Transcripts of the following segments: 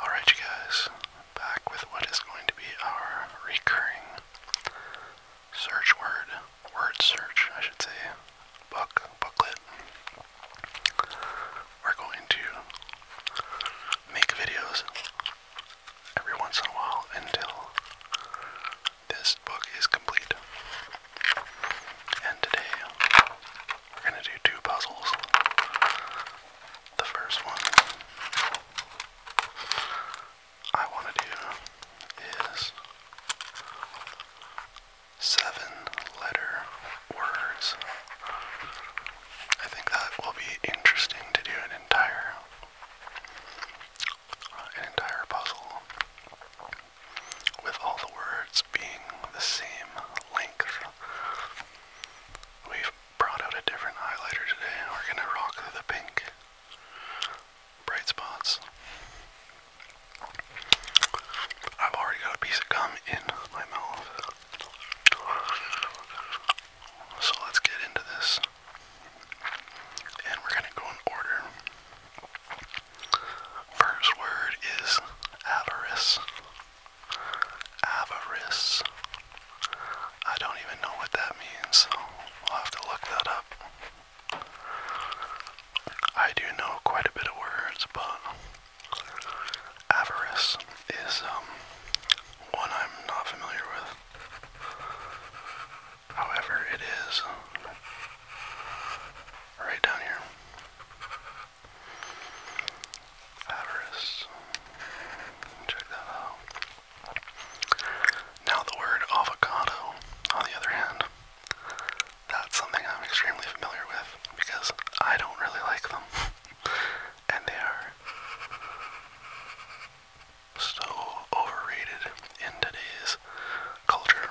Alright, you guys, back with what is going to be our recurring search word, word search, I should say, book, booklet. We're going to make videos every once in a while until this book is complete. And today we're gonna do two puzzles. The first one I want to do is seven letter words. I think that will be interesting to do an entire uh, an entire puzzle with all the words being the same length. We've brought out a different highlighter today and we're gonna rock the pink. Bright spots. I've already got a piece of gum in my mouth. So let's get into this. And we're gonna go in order. First word is avarice. Avarice. I don't even know what that means. I'll have to look that up. I do know quite a bit of words, but avarice is um, one I'm not familiar with. However, it is right down here. Avarice. Check that out. Now, the word avocado, on the other hand, that's something I'm extremely familiar with because I don't really like them. and they are so overrated in today's culture.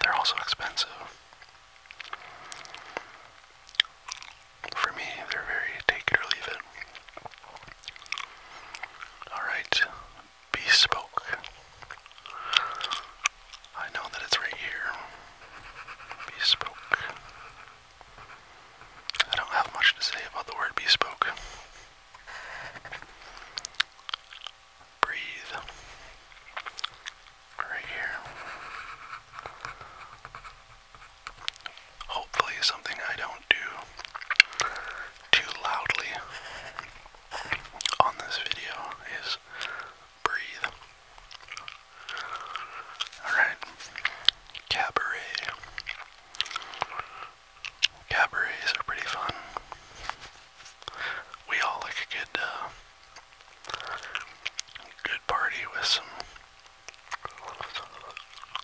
They're also expensive. For me, they're very take it or leave it. Alright, bespoke. I know that it's right here. Bespoke. I don't have much to say about the word bespoke. Breathe right here. Hopefully, something I don't do too loudly on this video is breathe. Alright, cabaret. Cabarets are pretty fun. We all like a good uh, Good party with some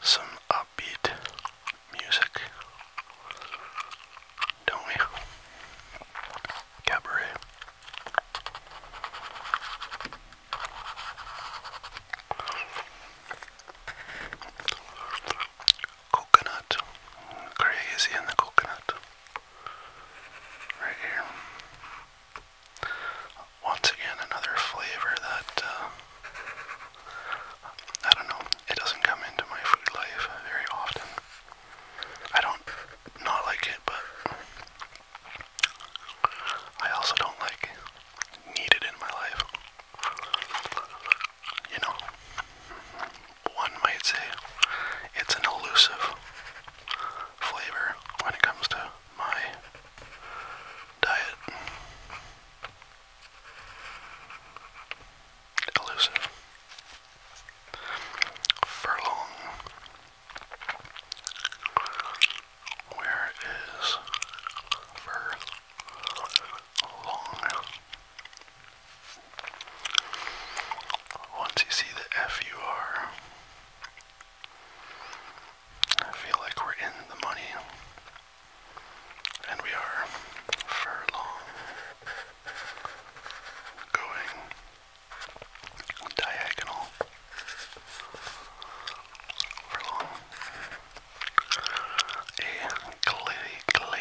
some upbeat music, don't we? Cabaret. Coconut. Crazy in the coconut. Right here. Once again, another flavor that, uh, I don't know, it doesn't come into my food life very often. I don't not like it, but I also don't like need it in my life. You know, one might say it's an elusive flavor when it comes to my diet. Elusive. Furlong. Where is furlong? Once you see the F U R I feel like we're in the money. And we are furlong going diagonal furlong. A gla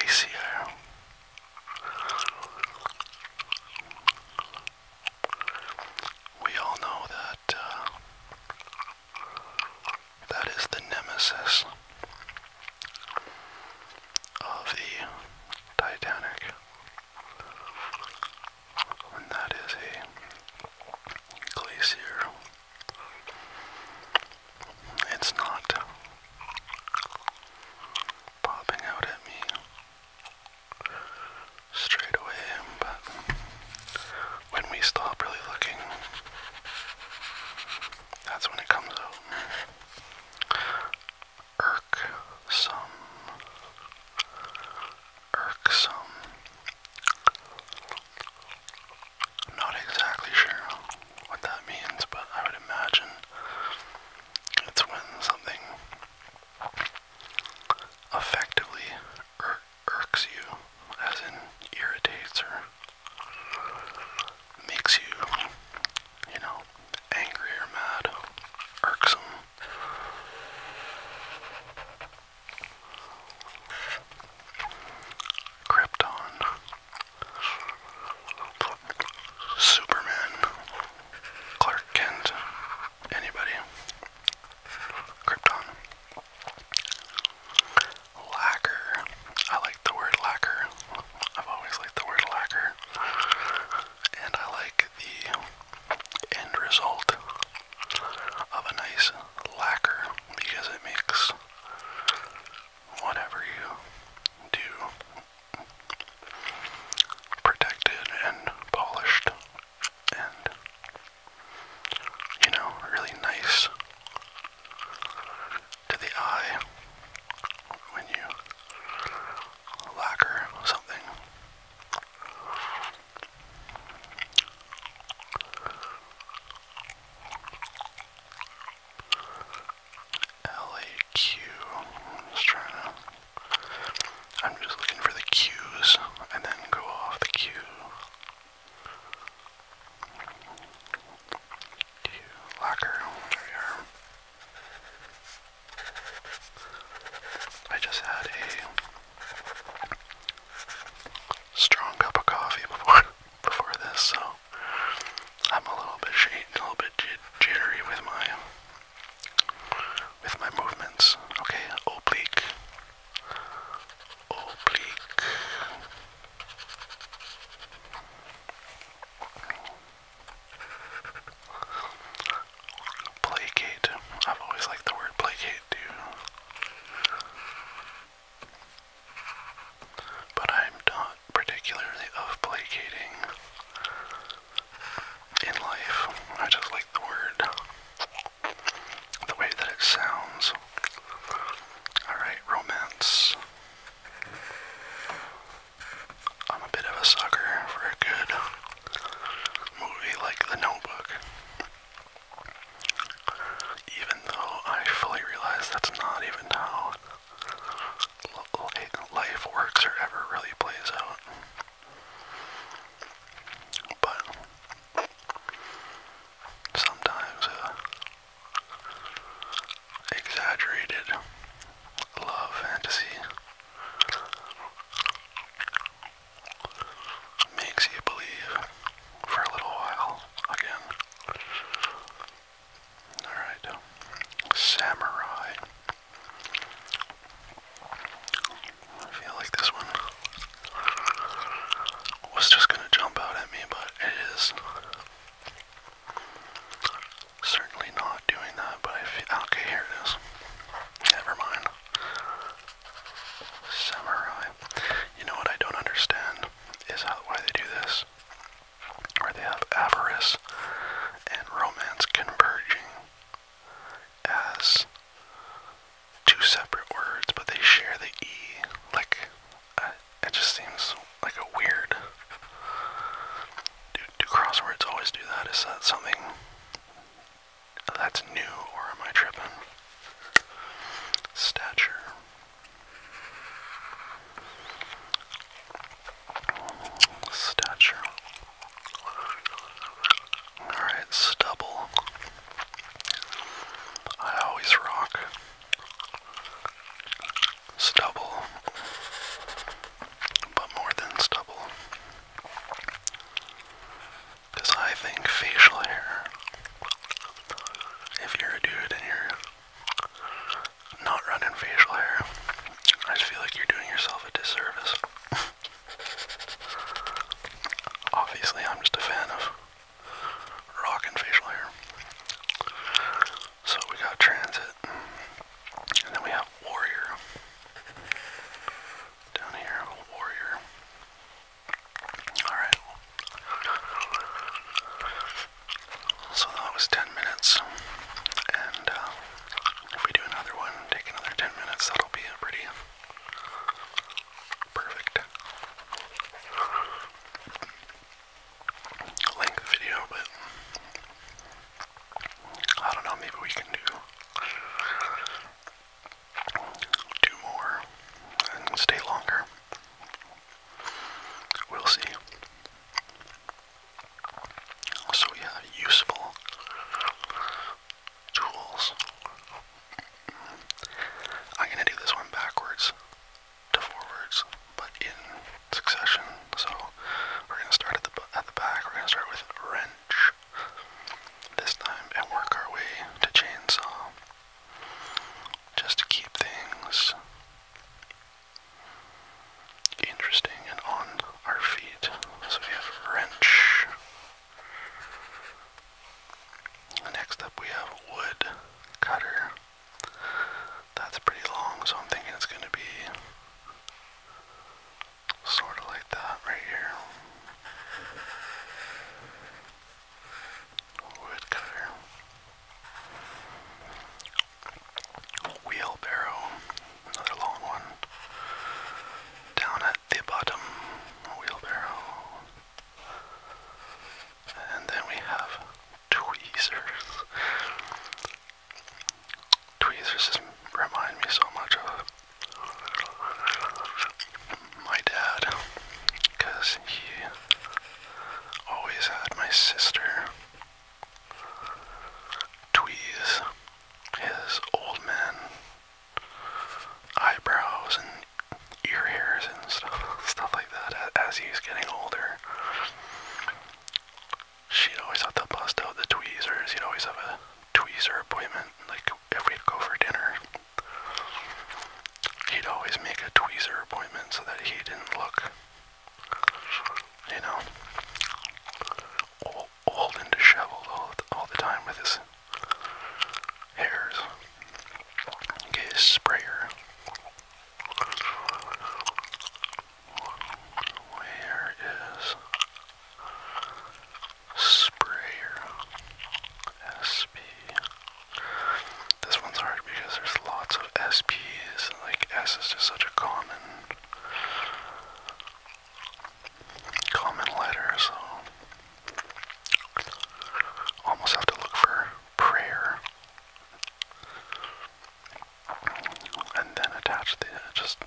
we all know that uh, that is the nemesis of the Titanic, and that is a glacier. It's not popping out at me straight away, but when we stop really looking, that's when it comes out. Irksome. Irksome. I'm not exactly sure what that means, but I would imagine it's when something effectively irks you, as in irritates or makes you, you know, angry or mad, irksome. Krypton, Superman, Clark Kent, anybody. Krypton. Lacquer. I like the word lacquer. I've always liked the word lacquer. And I like the end result of a nice lacquer because it makes whatever you do protected and polished and you know, really nice to the eye when you lacquer something. LAQ. just trying to I'm just looking for the cues and then go off the cue. Locker, there we are. I just had a strong cup of coffee before before this, so I'm a little bit shaky, a little bit jittery with my with my movements. Okay, oblique oblique placate. I've always liked the word placate too. But I'm not particularly of placating in life. I just like the word the way that it sounds. Alright, romance. I'm a bit of a sucker for a good movie like The Notebook. Even though I fully realize that's not even how life works or ever really plays out. But sometimes uh, exaggerated love fantasy makes you believe for a little while again. Alright, Samurai. I feel like this one was just gonna jump out at me, but it is certainly not doing that. But I feel okay. Here it is. Never mind. Samurai. You know what I don't understand is how why they do this. Where they have avarice and romance converging as two separate words, but they share the E. Like, it just seems like a weird. do crosswords always do that? Is that something that's new, or am I tripping? Stature. Stature. Alright, stubble. I always rock. Stubble. But more than stubble. Because I think facial hair, if you're a dude and you're not running facial hair, I just feel like you're doing yourself a disservice. Obviously, I'm just a fan of rock and facial hair. So we got Transit, and then we have Warrior. Down here, Warrior. Alright. So that was 10 minutes. And uh, if we do another one, take another 10 minutes, that'll be a pretty perfect length video, but I don't know, maybe we can do two more and stay longer. We'll see. So yeah, useful jewels. I'm gonna do this one backwards to forwards, but in succession. So we're gonna start at the at the back. We're gonna start with wrench this time, and work our way to chainsaw, just to keep things interesting and on our feet. So we have wrench. Next up we have wood cutter. That's pretty long, so I'm thinking it's going to be sort of like that right here. Wood cutter. Wheelbarrow, another long one. Down the bottom wheelbarrow. And then we have tweezers. Tweezers remind me so much of my dad he always had my sister tweeze his old man eyebrows and ear hairs and stuff, stuff like that as he's getting older. She'd always have to bust out the tweezers. He'd always have a tweezer appointment. Like if we'd go for dinner, he'd always make a tweezer appointment so that he didn't look, you know, old and disheveled all, all the time with his hairs. Get sprayer. Where is sprayer? SP. This one's hard because there's lots of SPs. Like S is just such a common, common letter, so Almost have to look for prayer. And then attach the, just,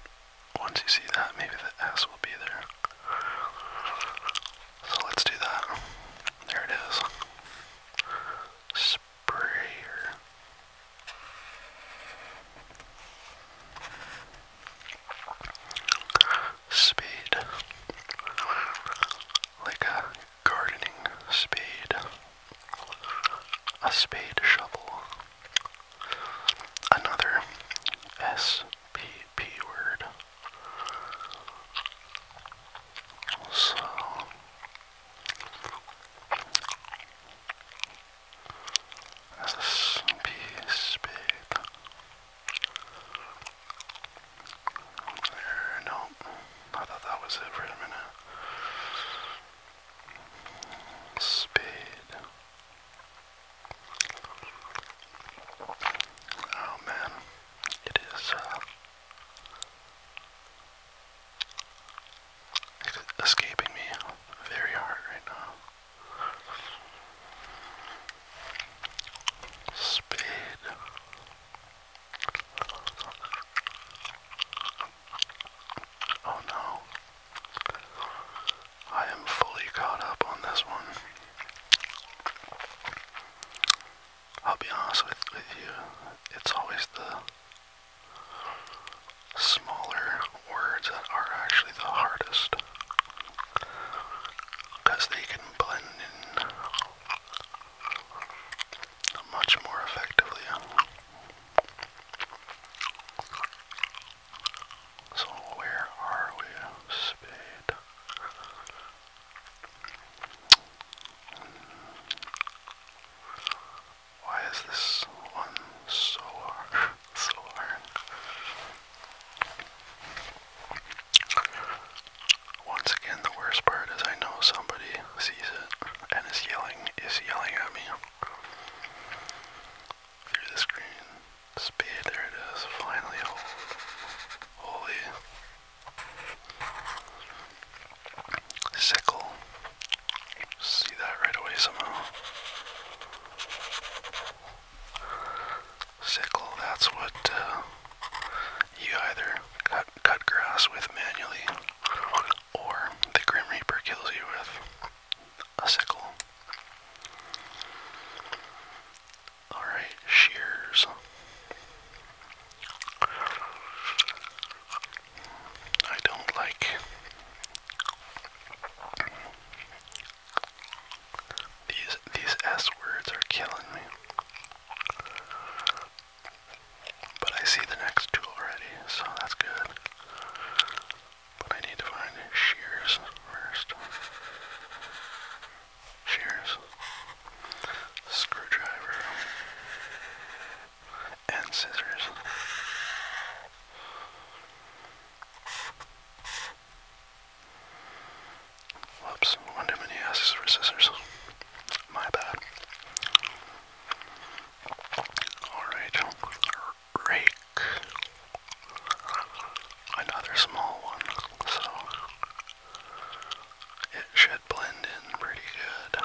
once you see that, maybe the S will be there. So let's do that. There it is. Sprayer spade. Like a gardening spade. A spade shovel. Another SPP word. So. S P uh, no. I thought that was it for a minute. Speed. Oh man, it is uh, escaping me very hard right now. Speed. Oh no. I am fully caught up on this one. I'll be honest with, with you, it's always the smaller words that are actually the hardest because they can blend in much more effectively. So where are we? Spade. Why is this one so hard? Once again, the worst part is I know somebody sees it and is yelling, is yelling at me through the screen. Speed, there it is, finally. Oh, holy. Sickle. See that right away somehow sickle. That's what uh, you either cut, cut grass with manually, or the Grim Reaper kills you with a sickle. Alright, shears. I don't like these these S words are killing me. But I see the next tool already, so that's good. But I need to find shears first. Shears. Screwdriver. And scissors. Whoops, one too many asses for scissors. My bad. Alright, rake. Another small one, so it should blend in pretty good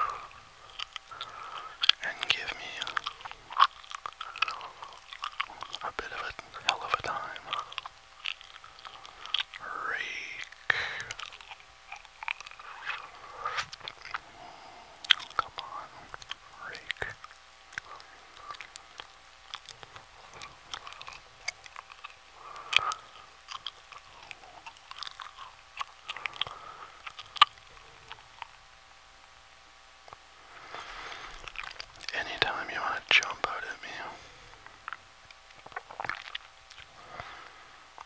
and give me a bit of a hell of a time. Rake. Come on, rake. Anytime you want to jump out at me,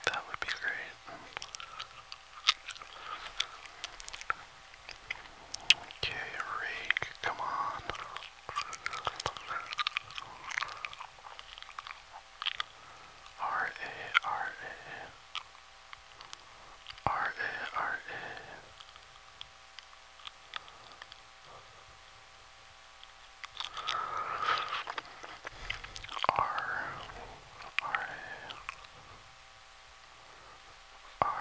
that would be great. Okay, rake, come on. R A R A R A R A R R R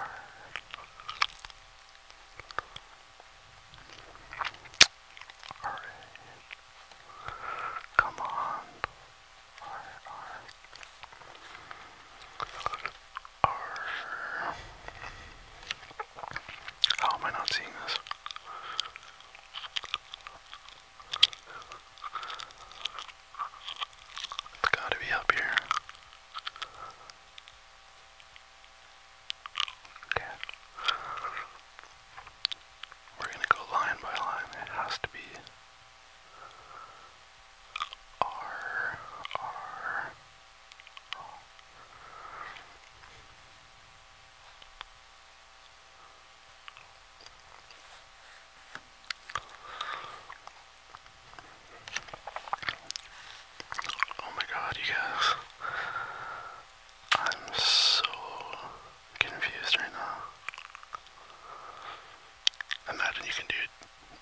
R Come on. R R R how am I not seeing this? It's gotta be up here. Okay. We're gonna go line by line. It has to be R R. Oh my god, you guys. I'm so confused right now. Imagine you can do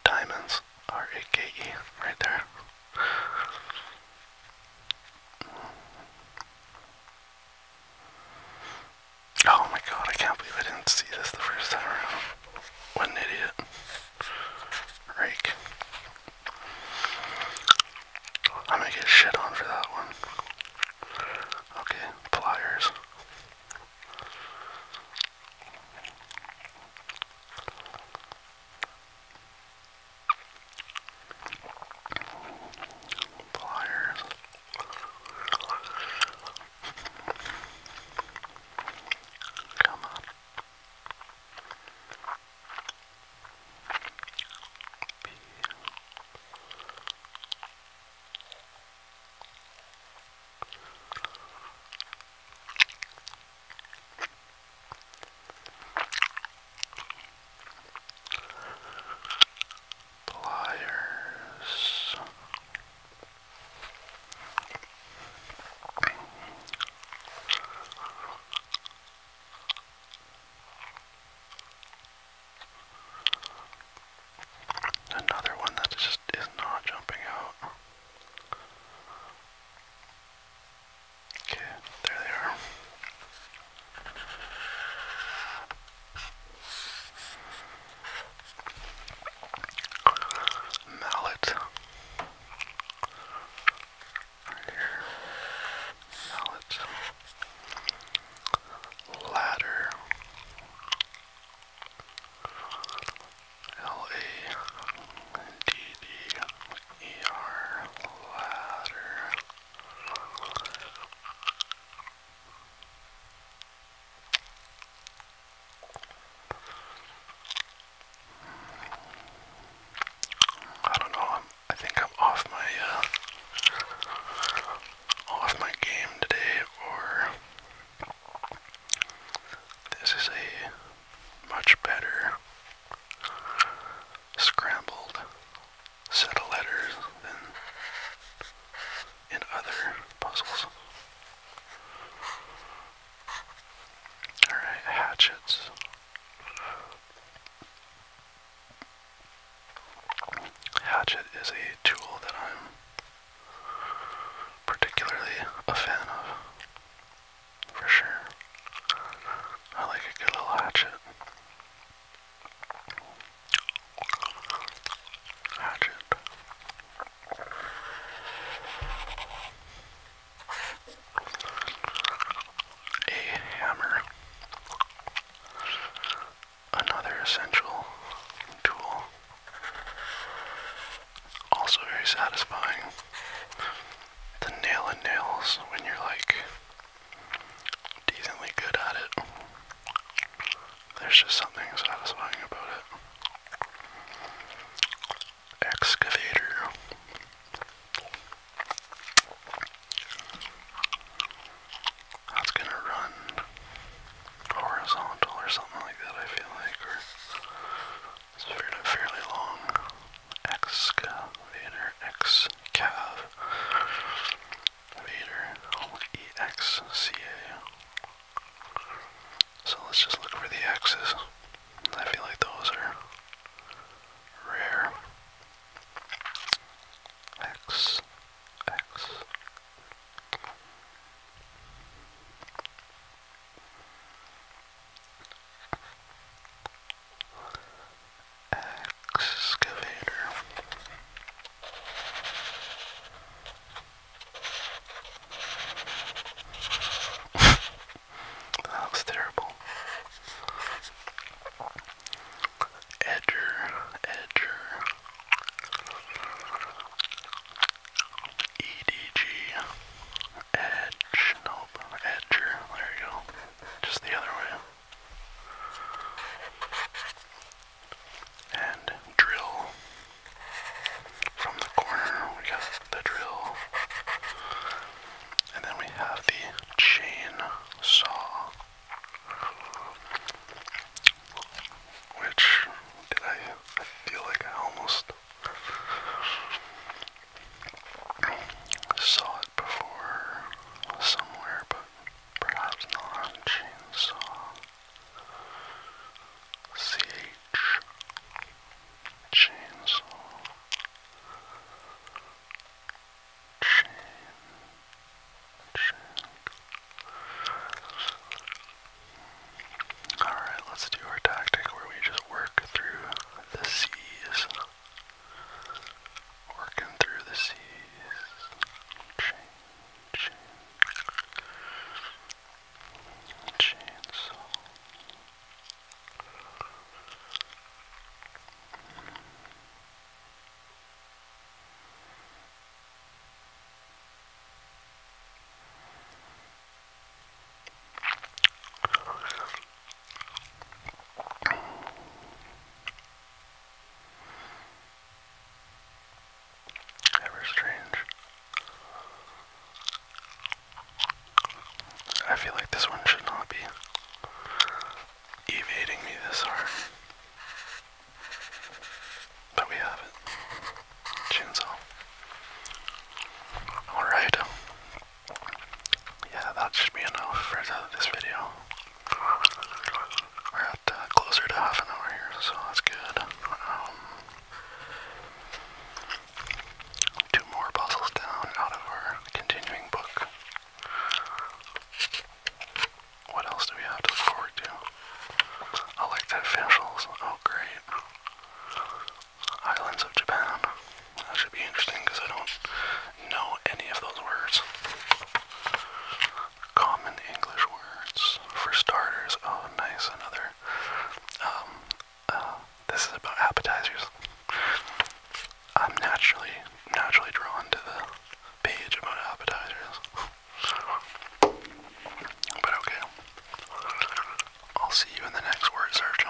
diamonds or AKE right there. Oh my god, I can't believe I didn't see this the first time around. What an idiot. Rake. I'm gonna get shit on for that one. Okay, pliers. Pliers. Come on. Be Pliers. Another one that just is not jumping out. Okay, there they are. Mallet. Right here. Mallet. Ladder. L A D D E R ladder. I don't know. i think I'm off my uh, off my game today, or this is a much better scrambled set of letters and in other puzzles. Alright, hatchets. Hatchet is a tool that I'm particularly a fan of. For sure. I like a good little hatchet. Hatchet. A hammer. Another essential tool. Also very satisfying. The nail and nails when you're like decently good at it. There's just something satisfying about it. Excavator. That's gonna run horizontal or something like that, I feel like, or it's fairly, fairly long. Excavator. X Cav Vader oh, E X C A. So let's just look for the X's. I feel like those are rare. X X excavator. that was terrible. Edger, edger. EDG, edge, nope, edger, there you go. Just the other way and drill from the corner. We got the drill, and then we have the chain which did I feel like I almost saw before somewhere, but perhaps not Chainsaw. CH Chainsaw Chain Chain Alright, let's do our tactic where we just work through the C's Working through the seas. Chain, chain. Chainsaw. Ever strange. I feel like this one should not be evading me this hard. But we have it. Chainsaw. Alright. Yeah, that should be enough for this video. We're at uh, closer to half an hour here, so that's good. Um, two more puzzles down out of our continuing book. What else do we have to look forward to? I like Oh, great. Islands of Japan. That should be interesting because I don't know any of those words common English words. For starters, oh nice, another. Um, uh, this is about appetizers. I'm naturally, naturally drawn to the page about appetizers. but okay, I'll see you in the next word search.